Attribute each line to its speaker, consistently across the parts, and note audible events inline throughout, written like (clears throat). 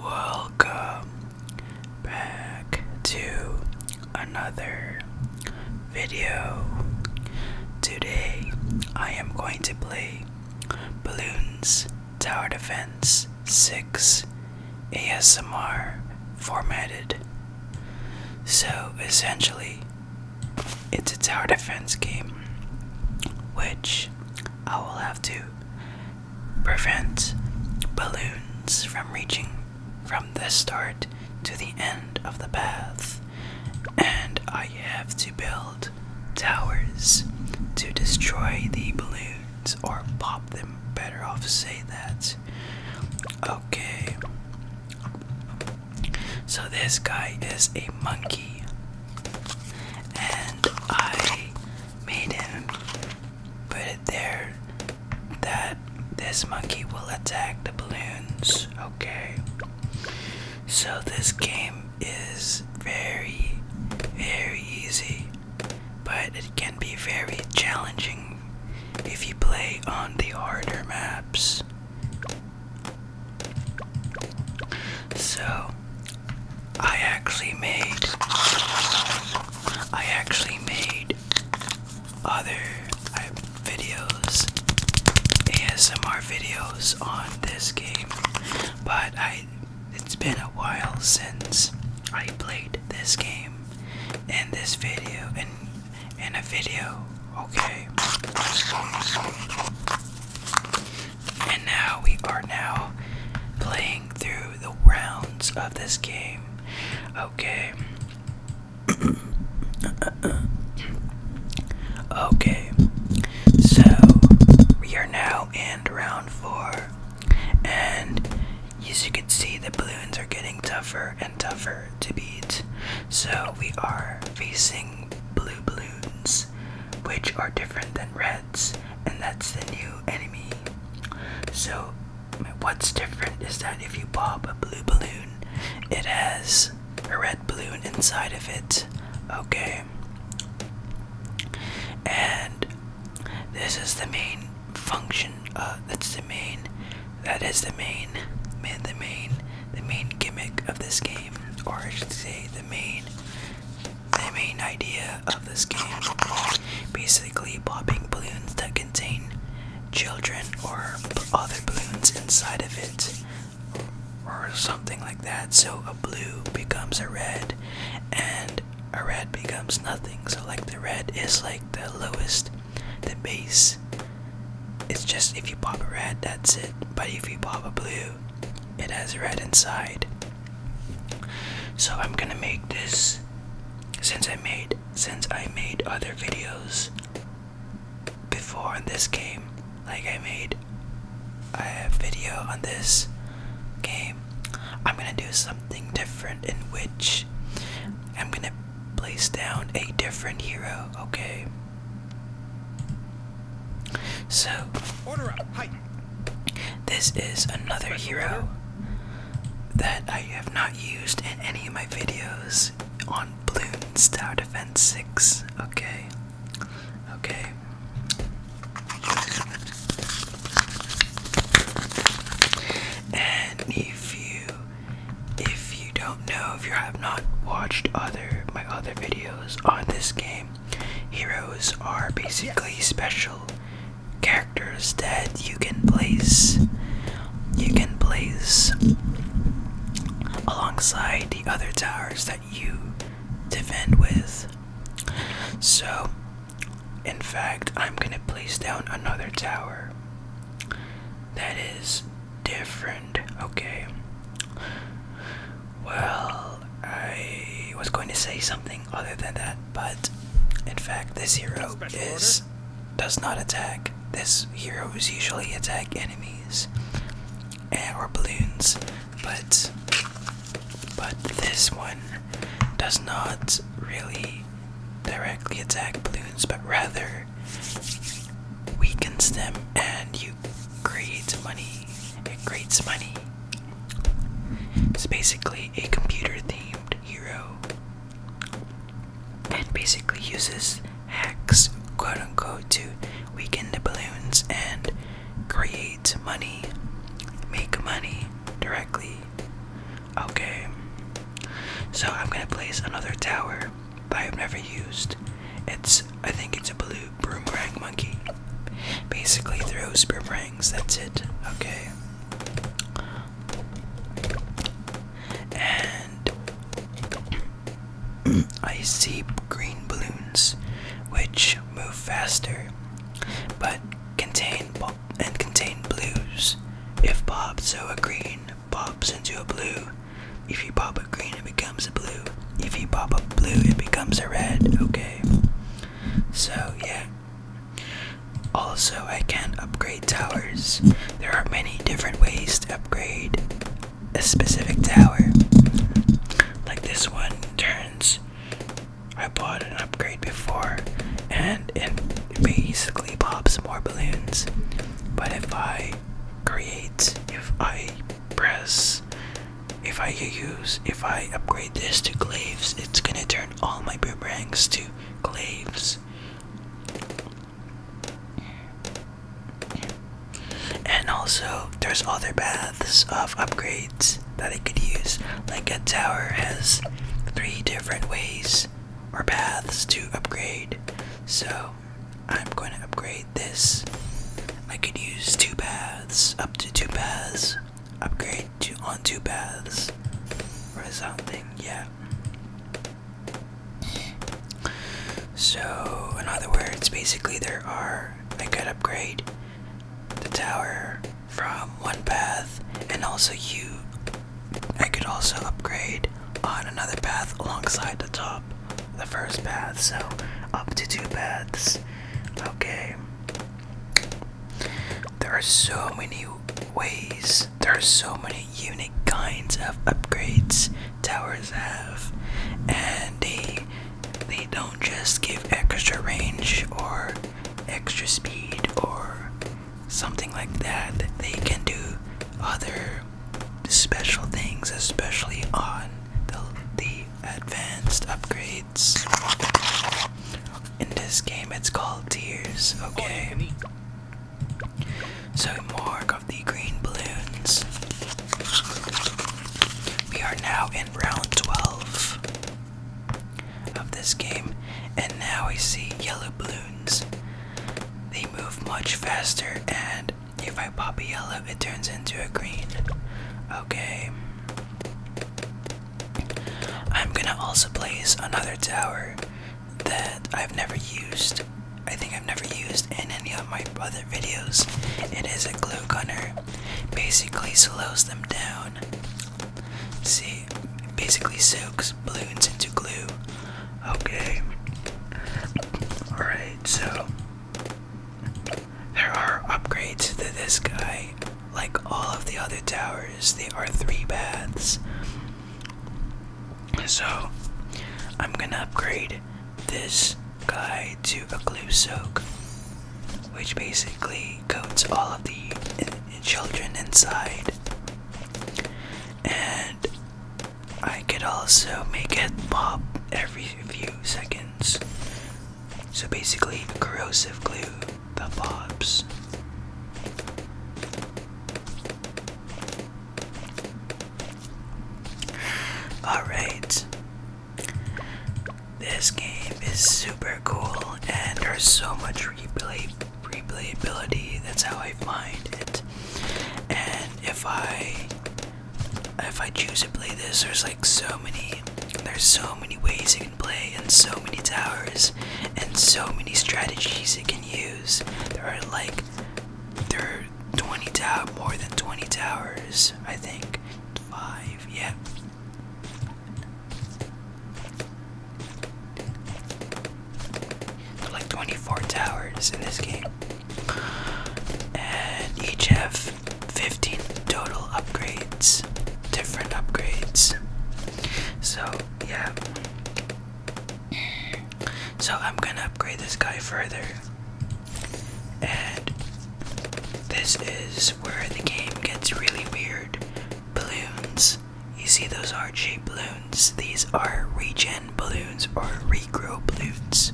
Speaker 1: Welcome back to another video. Today I am going to play Balloons Tower Defense 6 ASMR formatted. So essentially, it's a tower defense game which I will have to prevent balloons from reaching from the start to the end of the path, and I have to build towers to destroy the balloons or pop them. Better off say that. Okay. So this guy is a monkey and I made him put it there that this monkey will attack the balloons. Okay, so this game is very, very easy, but it can be very challenging if you play on the harder maps. So I actually made I actually made other uh, videos ASMR videos on this game but I it's been a while since I played this game in this video and in a video okay and now we are now playing through the rounds of this game. Okay. okay. So we are now in round four. And as you can see, the balloons are getting tougher and tougher to beat. So we are facing blue balloons which are different than reds, and that's the new enemy. So, what's different is that if you pop a blue balloon, it has a red balloon inside of it. Okay. And this is the main function. Uh, that's the main. That is the main, the main, the main gimmick of this game, or I should say, the main the main idea of this game is basically popping balloons that contain children or other balloons inside of it or something like that. So a blue becomes a red and a red becomes nothing. So like the red is like the lowest, the base. It's just if you pop a red, that's it. But if you pop a blue, it has red inside. So I'm gonna make this since I made since I made other videos before on this game. Like I made I have video on this game. I'm gonna do something different in which I'm gonna place down a different hero, okay? So, this is another hero that I have not used in any of my videos on Balloons Star Defense 6. Okay, okay. And if you, if you don't know, if you have not watched other my other videos on this game, Heroes are basically special characters that you can place you can place alongside the other towers that you defend with. So in fact I'm gonna place down another tower that is different, okay. Well I was going to say something other than that, but in fact, this hero is does not attack. This hero usually attack enemies and, eh, or balloons, but but this one does not really directly attack balloons, but rather weakens them, and you creates money. It creates money. It's basically a computer themed hero and basically uses hacks, quote unquote, to weaken the balloons and create money, make money directly. Okay, so I'm gonna place another tower that I've never used. It's, I think it's a blue Boomerang Monkey. Basically throws boomerangs, that's it, okay? And (clears throat) I see green balloons, which move faster, but contain and contain blues. If popped, so a green bobs into a blue. If you pop a green, it becomes a blue. If you pop a blue, it becomes a red. Okay. So, yeah. Also, I can upgrade towers. There are many different ways to upgrade a specific tower. Like this one turns. I bought an upgrade before and it basically pops more balloons. But if I create, if I press if I use, if I upgrade this to glaives, it's gonna turn all my boomerangs to glaives. And also, there's other paths of upgrades that I could use. Like a tower has three different ways or paths to upgrade. So I'm going to upgrade this. I could use two paths, up to two paths, upgrade on two paths, or something. Yeah. So, in other words, basically there are. I could upgrade the tower from one path, and also you. I could also upgrade on another path alongside the top the first path, so up to two paths. Okay. There are so many ways, there are so many unique kinds of upgrades towers have, and they they don't just give extra range or extra speed or something like that. They can do other special things, especially on the the advanced upgrades. In this game, it's called Tears, okay? So, more of the green balloons. We are now in round 12 of this game, and now we see yellow balloons. They move much faster and if I pop a yellow, it turns into a green. Okay. I'm gonna also place another tower that I've never used. I think I've never used in any of my other videos. It is a glue gunner. Basically slows them down. See, it basically soaks balloons into glue. Okay. Alright, so there are upgrades to this guy. Like all of the other towers, they are three baths. So, I'm gonna upgrade this guy to a glue soak, which basically coats all of the children inside. And I could also make it pop every few seconds. So basically, corrosive glue that pops. Alright. This game is super cool and there's so much replay replayability. That's how I find it. And if I if I choose to play this, there's like so many, there's so many ways you can play, and so many towers, and so many strategies you can use. There are like, there are 20 tower, more than 20 towers, I think, five, yeah. like 24 towers in this game and each have 15 total upgrades, different upgrades. So, yeah. So, I'm gonna upgrade this guy further. And this is where the game gets really weird. Balloons. You see those heart shaped balloons? These are regen balloons or regrow balloons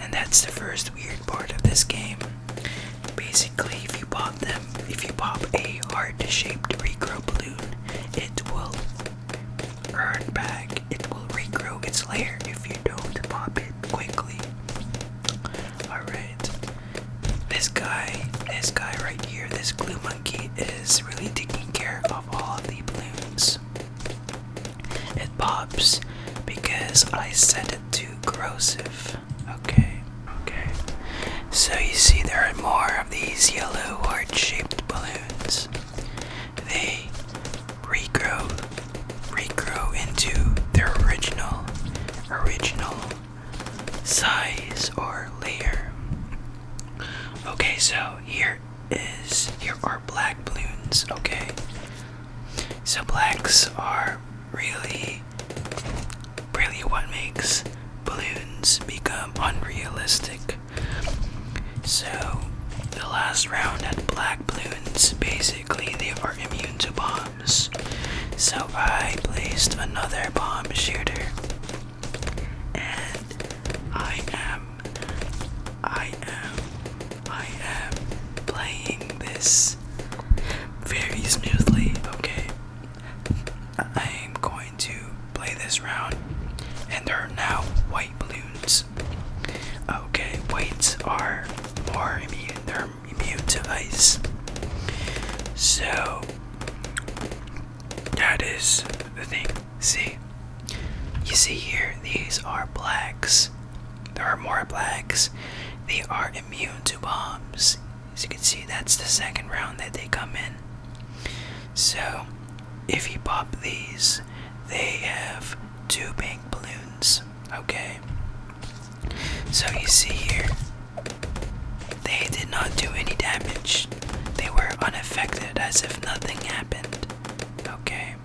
Speaker 1: and that's the first weird part of this game. Basically, if you pop them, if you pop a heart-shaped regrow balloon, it will earn back. It will regrow its layer if you don't pop it quickly. Alright. This guy, this guy right here, this glue monkey is really taking care of all of the balloons. It pops because I set it too corrosive. Okay, okay. So you see, there are more of these yellow heart-shaped balloons. They regrow, regrow into their original, original size or layer. Okay, so here is here are black balloons. Okay, so blacks are really, really what makes balloons become unrealistic. So the last round had black balloons. Basically, they are immune to bombs. So I placed another bomb shooter, and I am, I am I am playing this very smoothly, okay? I am going to play this round, and there are now white balloons. Okay, whites are more immune, they're immune to ice. So, that is the thing. See? You see here, these are blacks there are more blacks. They are immune to bombs. As you can see, that's the second round that they come in. So, if you pop these, they have two pink balloons. Okay. So, you see here, they did not do any damage. They were unaffected as if nothing happened. Okay.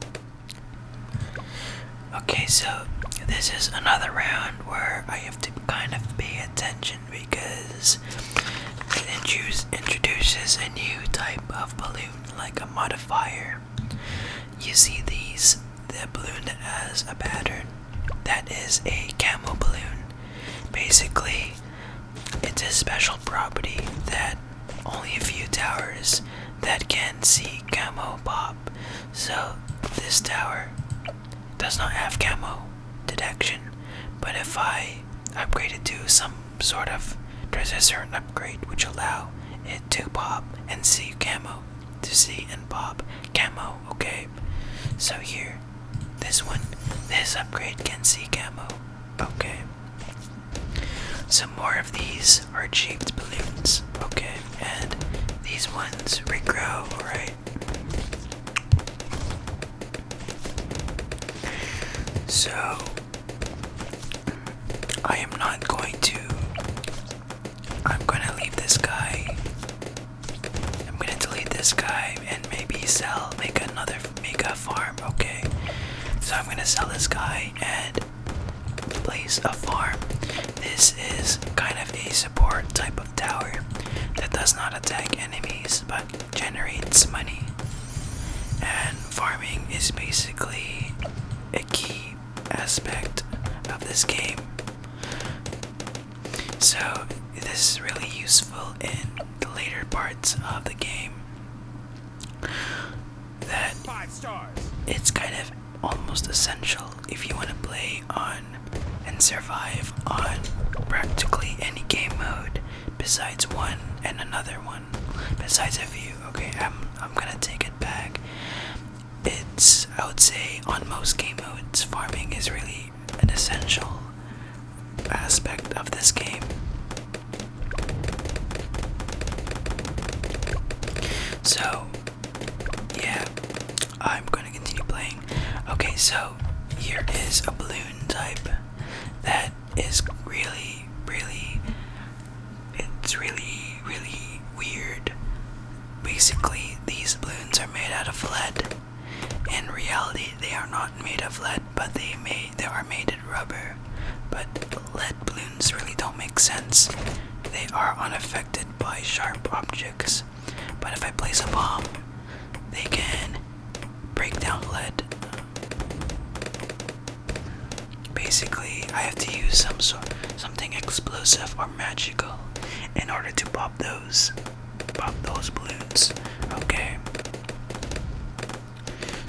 Speaker 1: Okay, so this is another round where I have to kind of pay attention because it introduces a new type of balloon, like a modifier. You see these, the balloon has a pattern, that is a camel balloon. Basically, it's a special property that only a few towers that can see camo pop. So this tower does not have camo detection, but if I upgrade it to some sort of transistor upgrade which allow it to pop and see camo, to see and pop camo, okay? So here, this one, this upgrade can see camo, okay? Some more of these are cheap balloons. Okay, and these ones regrow, right? So, I am not going to. I'm going to leave this guy. I'm going to delete this guy and maybe sell, make another, make farm, okay? So, I'm going to sell this guy and place a farm. This is kind of a support type of tower that does not attack enemies but generates money. And farming is basically a key aspect of this game. So, this is really useful in the later parts of the game that it's kind of almost essential if you want to play on and survive on practically any game mode besides one and another one besides a few okay i'm i'm gonna take it back it's i would say on most game modes farming is really an essential aspect of this game so, yeah, I'm gonna continue playing. Okay, so here is a balloon type that is really, really, it's really, really weird. Basically, these balloons are made out of lead. In reality, they are not made of lead, but they made they are made of rubber but lead balloons really don't make sense. They are unaffected by sharp objects, but if I place a bomb, they can break down lead. Basically, I have to use some sort, something explosive or magical in order to pop those, pop those balloons. Okay.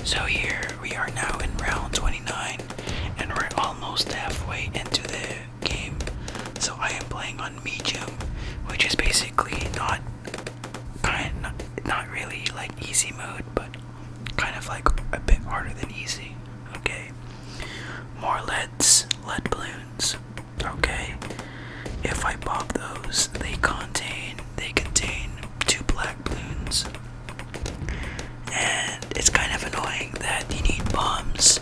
Speaker 1: So here we are now in round 20 and we're almost halfway into the game. So I am playing on medium, which is basically not kind not really like easy mode, but kind of like a bit harder than easy. Okay. More leads, lead balloons. Okay. If I pop those, they contain they contain two black balloons. And it's kind of annoying that you need bombs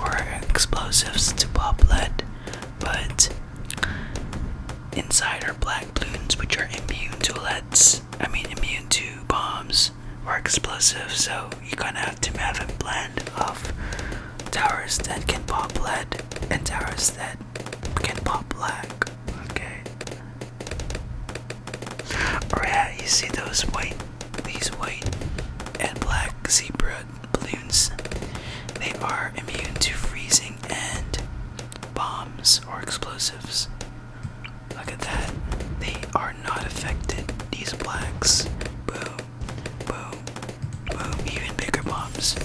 Speaker 1: or explosives to pop lead, but inside are black balloons which are immune to leads. I mean, immune to bombs or explosives, so you are gonna have to have a blend of towers that can pop lead and towers that can pop black. Okay, or oh, you see those white, these white and black zebra balloons. They are immune to freezing and bombs or explosives. Look at that. They are not affected. These blacks. Boom, boom, boom. Even bigger bombs.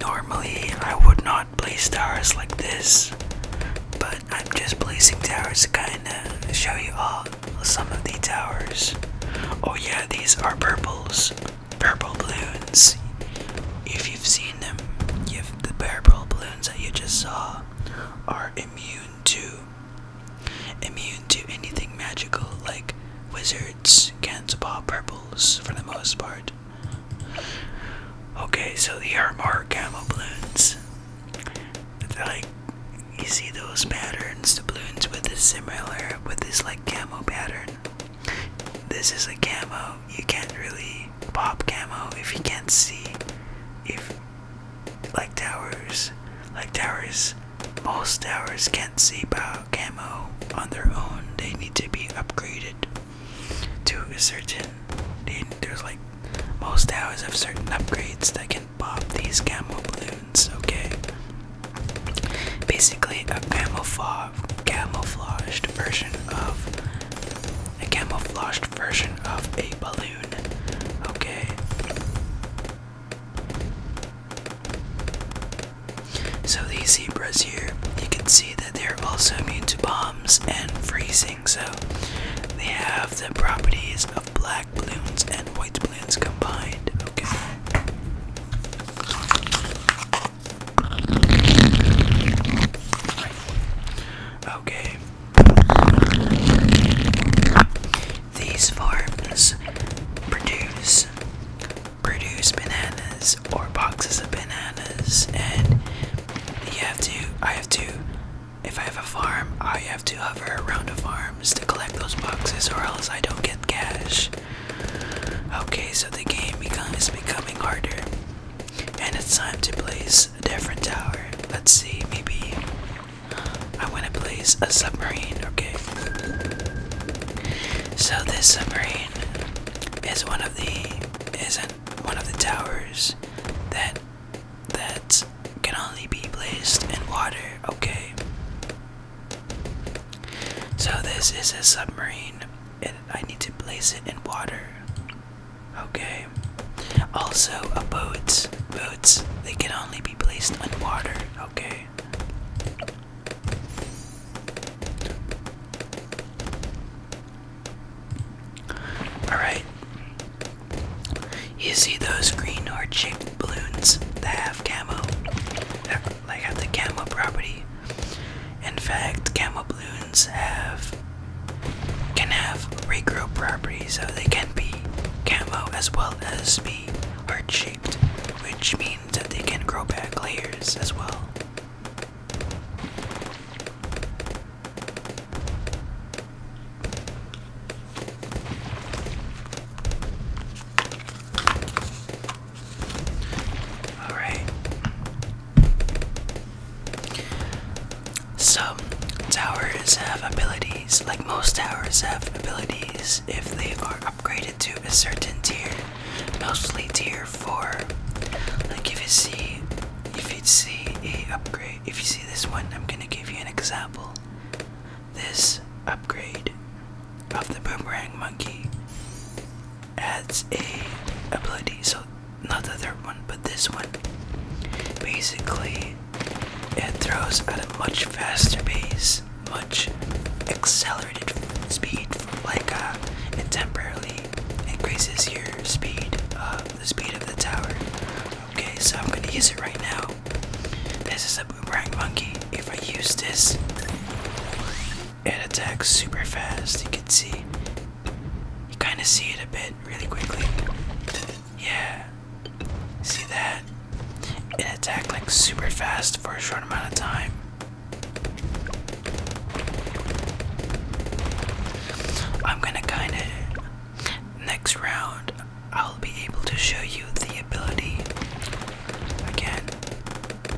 Speaker 1: Normally, I would not place towers like this, but I'm just placing towers to kinda show you all some of the towers. Oh, yeah, these are purples, purple balloons. If you've seen them, if the purple balloons that you just saw are immune to immune to anything magical like wizards, can't pop purple for the most part. Okay, so the Armor camo balloons. Like you see those patterns, the balloons with this similar with this like camo pattern. This is a camo. You can't really pop camo if you can't see if like towers like towers most towers can't see camo on their own, they need to be upgraded to a certain. there's like most hours of certain upgrades that can pop these camo balloons. Okay, basically a camouflage, camouflaged version of a camouflaged version of a balloon. Okay. So these zebras here, you can see that they're also immune to bombs and freezing. So they have the properties of black balloons and white balloons combined. Okay. Okay. These farms produce produce bananas or boxes of bananas and you have to I have to if I have a farm I have to hover around the farms to collect those boxes or else I don't get cash. Okay, so the game becomes becoming harder. And it's time to place a different tower. Let's see, maybe I wanna place a submarine, okay. So this submarine is one of the isn't one of the towers that that can only be placed in water, okay. So this is a submarine and I need to place it in water. Okay. Also boats, Boats they can only be placed on water, okay. Alright. You see those green heart-shaped balloons that have camo? That, uh, have the camo property. In fact, camo balloons have can have regrow property, so they can be camo as well as be heart shaped, which means that they can grow back layers as well. All right. Some towers have abilities, like most towers have abilities if they are upgraded to a certain tier, mostly tier four. Like if you see, if you see a upgrade, if you see this one, I'm gonna give you an example. This upgrade of the boomerang monkey adds a ability. So not the third one, but this one. Basically, it throws at a much faster pace much accelerated speed like uh, it temporarily increases your speed uh, the speed of the tower okay so i'm gonna use it right now this is a boomerang monkey if i use this it attacks super fast you can see you kind of see it a bit really quickly yeah see that it attacks like super fast for a short amount of time I'm gonna kinda. Next round, I'll be able to show you the ability. Again,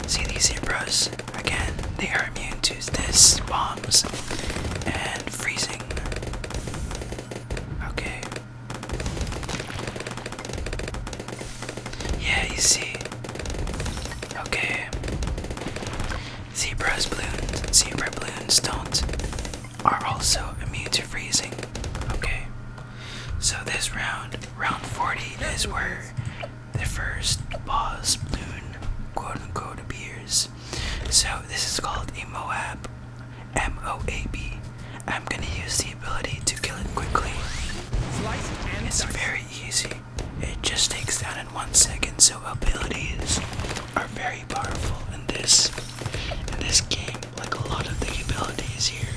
Speaker 1: see these zebras? Again, they are immune to this, bombs, and freezing. Okay. Yeah, you see, Okay. Zebra's balloons and zebra balloons don't are also immune to freezing. Okay. So this round, round 40, is where the first boss balloon quote unquote appears. So this is called a Moab. M O A B. I'm gonna use the ability to kill it quickly. It's very easy. It just takes down in one second, so abilities are very powerful in this in this game, like a lot of the abilities here.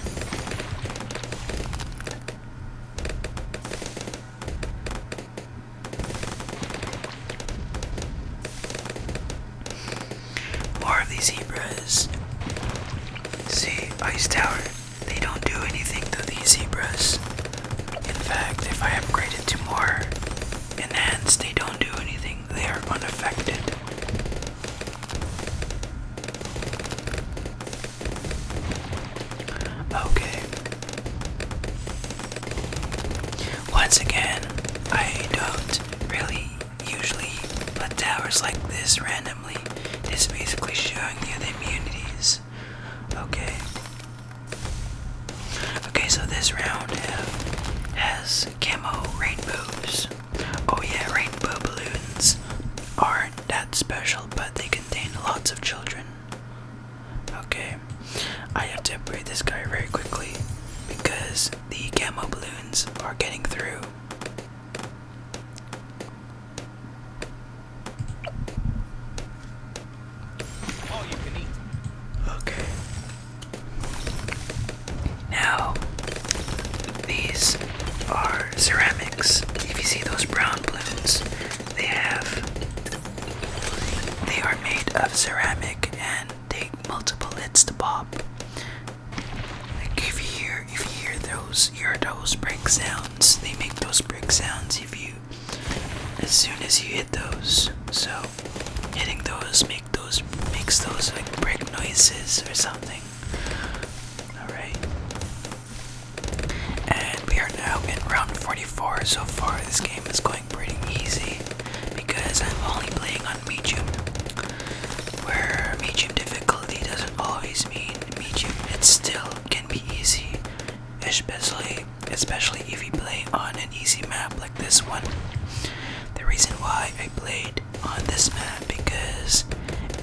Speaker 1: More of these zebras. See, ice tower. They don't do anything to these zebras. In fact, if I upgrade it to more enhanced, they don't do anything. They are unaffected. Okay. Once again, I don't really usually put towers like this random randomly. It's basically showing you the immunities. Okay. Okay, so this round has camo rainbows. Oh yeah, rainbow balloons aren't that special, but they contain lots of children. Okay, I have to upgrade this guy very quickly because the camo balloons are getting through. Okay. Now, these are ceramics. If you see those brown balloons, they have. They are made of ceramic and take multiple hits to pop. Like if you if you hear those hear those brick sounds, they make those brick sounds if you as soon as you hit those. So hitting those make those makes those like brick noises or something. Alright. And we are now in round 44. So far this game is going pretty easy because I'm only playing on medium. Where medium difficulty doesn't always mean medium, it still can be easy, especially especially if you play on an easy map like this one. The reason why I played on this map because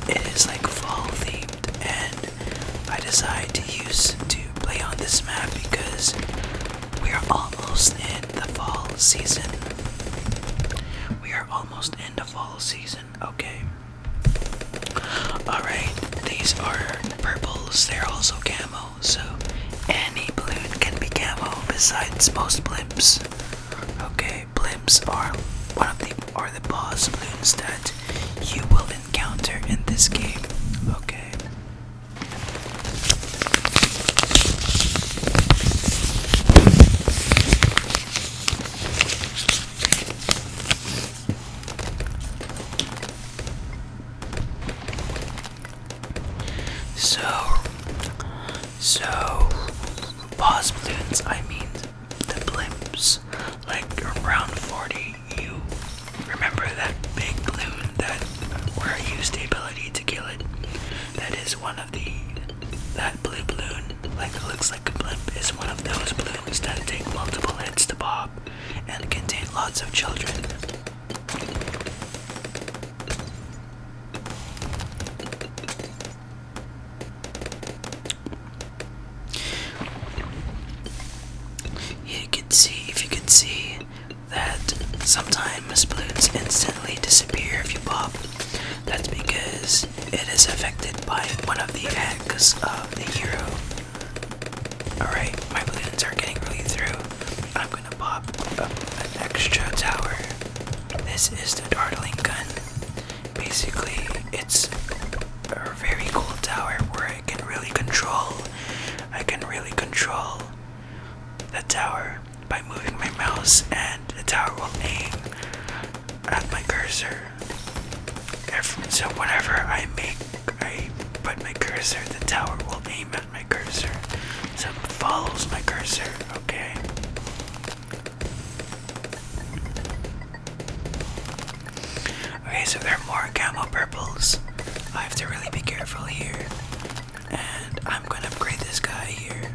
Speaker 1: it is like fall themed, and I decided to use to play on this map because we are almost in the fall season. We are almost in the fall season. Okay. Alright, these are purples. They're also camo, so any balloon can be camo besides most blimps. Okay, blimps are one of the are the boss balloons that you will encounter in this game. Okay. So, so pause balloons. I mean the blimps, like around 40. You remember that big balloon that where I used the ability to kill it? That is one of the that blue balloon, like looks like a blimp, is one of those balloons that take multiple hits to pop and contain lots of children. You can see, if you can see, that sometimes balloons instantly disappear if you pop. That's because it is affected by one of the acts of the hero. Alright, my balloons are getting really through. I'm gonna pop an extra tower. This is the dartling gun. Basically, it's a very cool tower where I can really control. I can really control the tower by moving my mouse and the tower will aim at my cursor so whenever I make, I put my cursor, the tower will aim at my cursor. So it follows my cursor, okay? Okay, so there are more gamma purples. I have to really be careful here. And I'm gonna upgrade this guy here.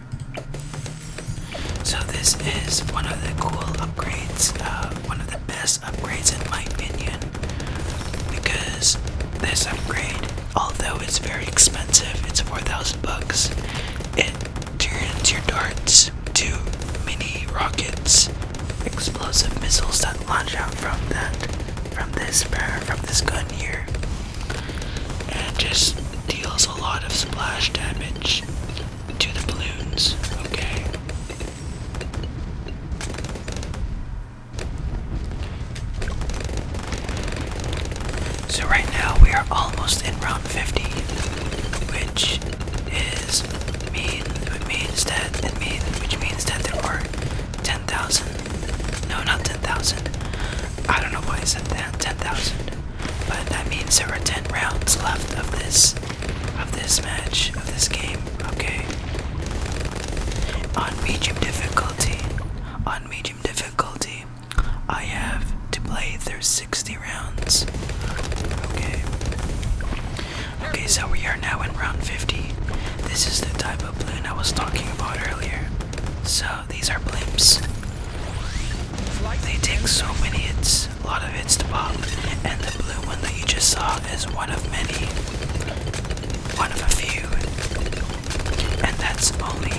Speaker 1: So this is one of the cool upgrades, uh, one of the best upgrades in my opinion, because this upgrade, although it's very expensive, it's 4,000 bucks, it turns your darts to mini rockets, explosive missiles that launch out from that, from from this gun here, and just deals a lot of splash damage to the balloons. Okay. So right now we are almost in round 50, which is mean it means that which means that there are 10,000. No, not 10,000. I don't know why I said that. 10,000. But that means there are 10 rounds left of this of this match, of this game, okay? On medium difficulty, on medium difficulty, I have to play through 60 rounds. Okay. Okay, so we are now in round 50. This is the type of balloon I was talking about earlier. So these are blimps. They take so many hits a lot of it's to pop, and the blue one that you just saw is one of many, one of a few, and that's only,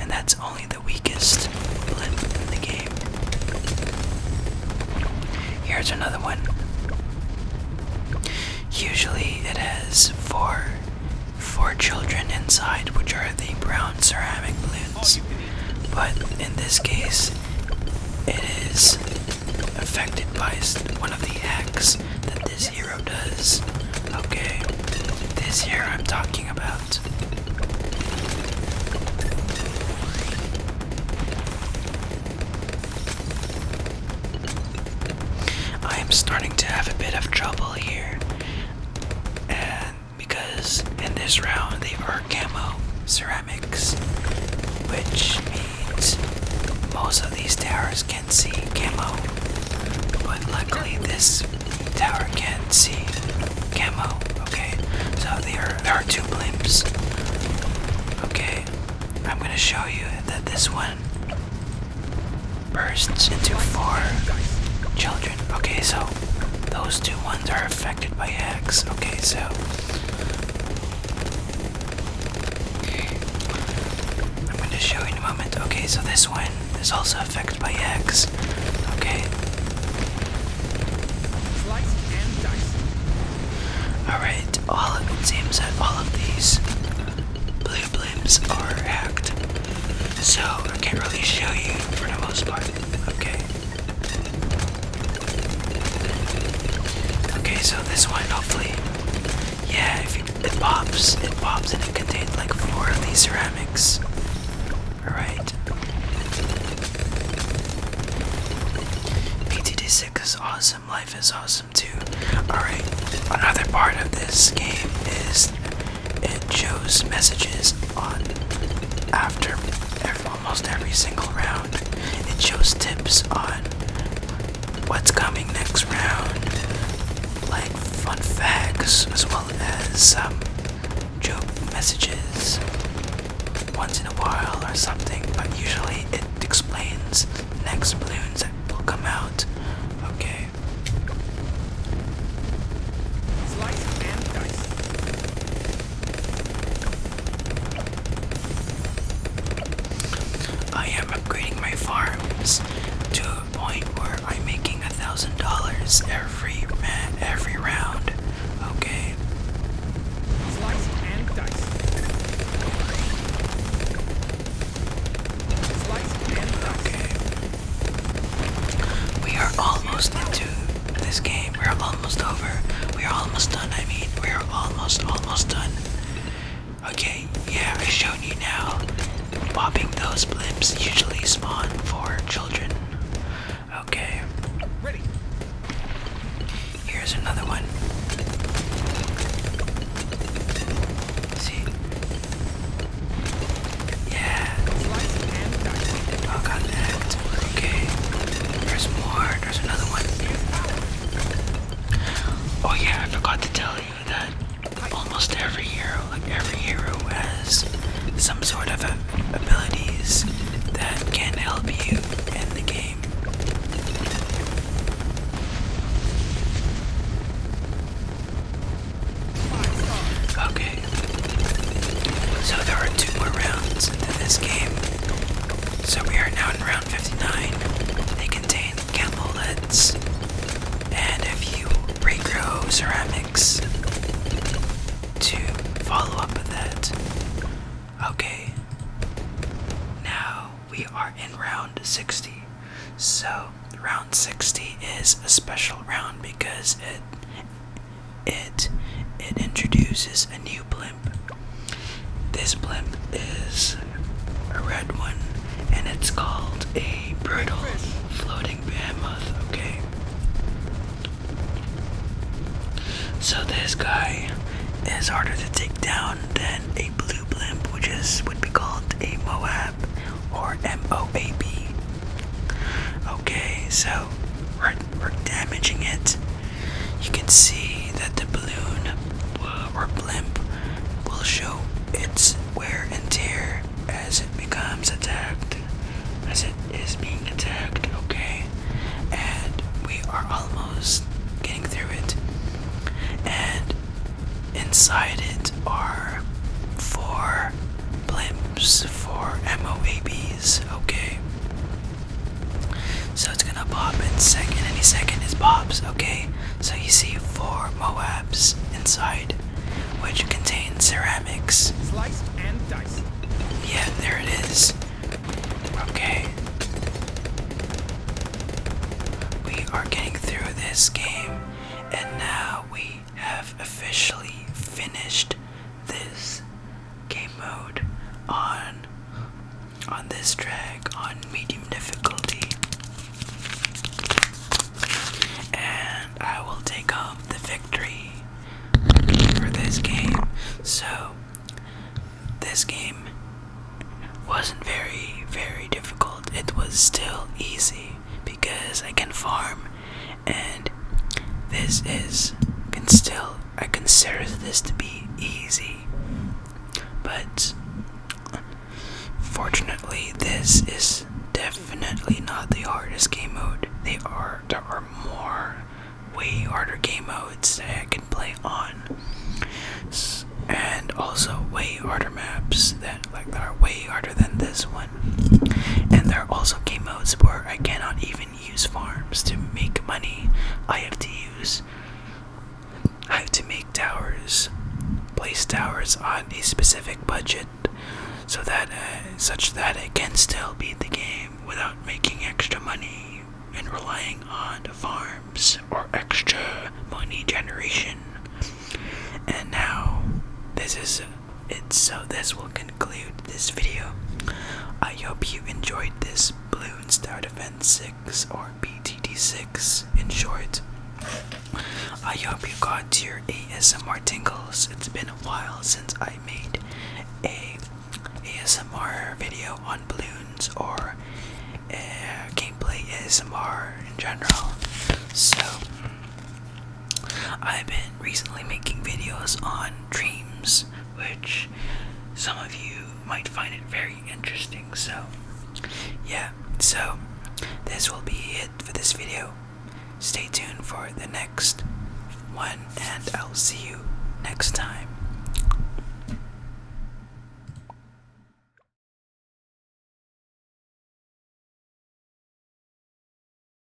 Speaker 1: and that's only the weakest blip in the game. Here's another one. Usually it has four, four children inside, which are the brown ceramic blue. But in this case, it is affected by one of the acts that this hero does. Okay, this hero I'm talking about. I am starting to have a bit of trouble here, and because in this round they are camo ceramics, which means most of these towers can see camo, but luckily this tower can't see camo. Okay, so there are two blimps. Okay, I'm gonna show you that this one bursts into four children. Okay, so those two ones are affected by X. Okay, so I'm going to show you in a moment. Okay, so this one is also affected by X. Okay. All right. All it seems that all of these blue blimps are hacked, so I can't really show you for the most part. Okay. Okay, so this one hopefully, yeah, if it, pops, it pops, and it contained like four of these ceramics. All right. PTD six is awesome. Life is awesome too. All right. Another part of this game is it shows messages on after almost every single round. It shows tips on what's coming next round, like fun facts, as well as um, joke messages once in a while or something, but usually it explains next balloons that will come out. Okay. I am upgrading my farms to a point where I'm making a thousand dollars every every round. Okay. We are almost into this game. We're almost over. We're almost done, I mean. We're almost, almost done. Okay, yeah, I showed you now. Popping those blips usually spawn for children. Okay. Ready. Here's another one. See? Yeah. Oh, okay. There's more. There's another one. Oh yeah, I forgot to tell you that almost every hero, like every hero has some sort of abilities that can help you in the game. Okay, so there are two more rounds to this game. So we are now in round 59. They contain camel and a few regrow ceramics to follow up with that. Okay. Now we are in round 60. So round 60 is a special round because it it, it introduces a new blimp. This blimp is a red one, and it's called a brutal floating behemoth, okay? So this guy is harder to take down than a blue blimp, which is would be called a Moab or M-O-A-B. Okay, so window. We're, damaging it. You can see that the balloon uh, or blimp will show its wear and tear as it becomes attacked, as it is being attacked, okay? And we are almost getting through it. And inside it are four blimps, for MOABs okay. So it's gonna pop in second any second is pops, okay? So you see four Moabs inside, which contain ceramics. Sliced and diced. Yeah, there it is. Okay. We are getting through this game, and now we have officially finished this game mode on on this track on medium difficulty and I will take home the victory for this game. So this game wasn't very very difficult. It was still easy because I can farm and this is can still I consider this to be easy, but fortunately this is definitely not the hardest game mode. They are there are more way harder game modes that I can play on, and also way harder maps that like that are way harder than this one. And there are also game modes where I cannot even use farms to make money. I have to use. I have to make towers, place towers on a specific budget, so that uh, such that it can still beat the game without making extra money and relying on farms or extra money generation. And now, this is it so this will conclude this video. I hope you enjoyed this Balloon Star Defense 6 or BTD 6 in short. I hope you got your ASMR tingles. It's been a while since I made a ASMR video on balloons or gameplay ASMR in general. So I've been recently making videos on dreams, which some of you might find it very interesting. So, yeah, so this will be it for this video. Stay tuned for the next one, and I'll see you next time.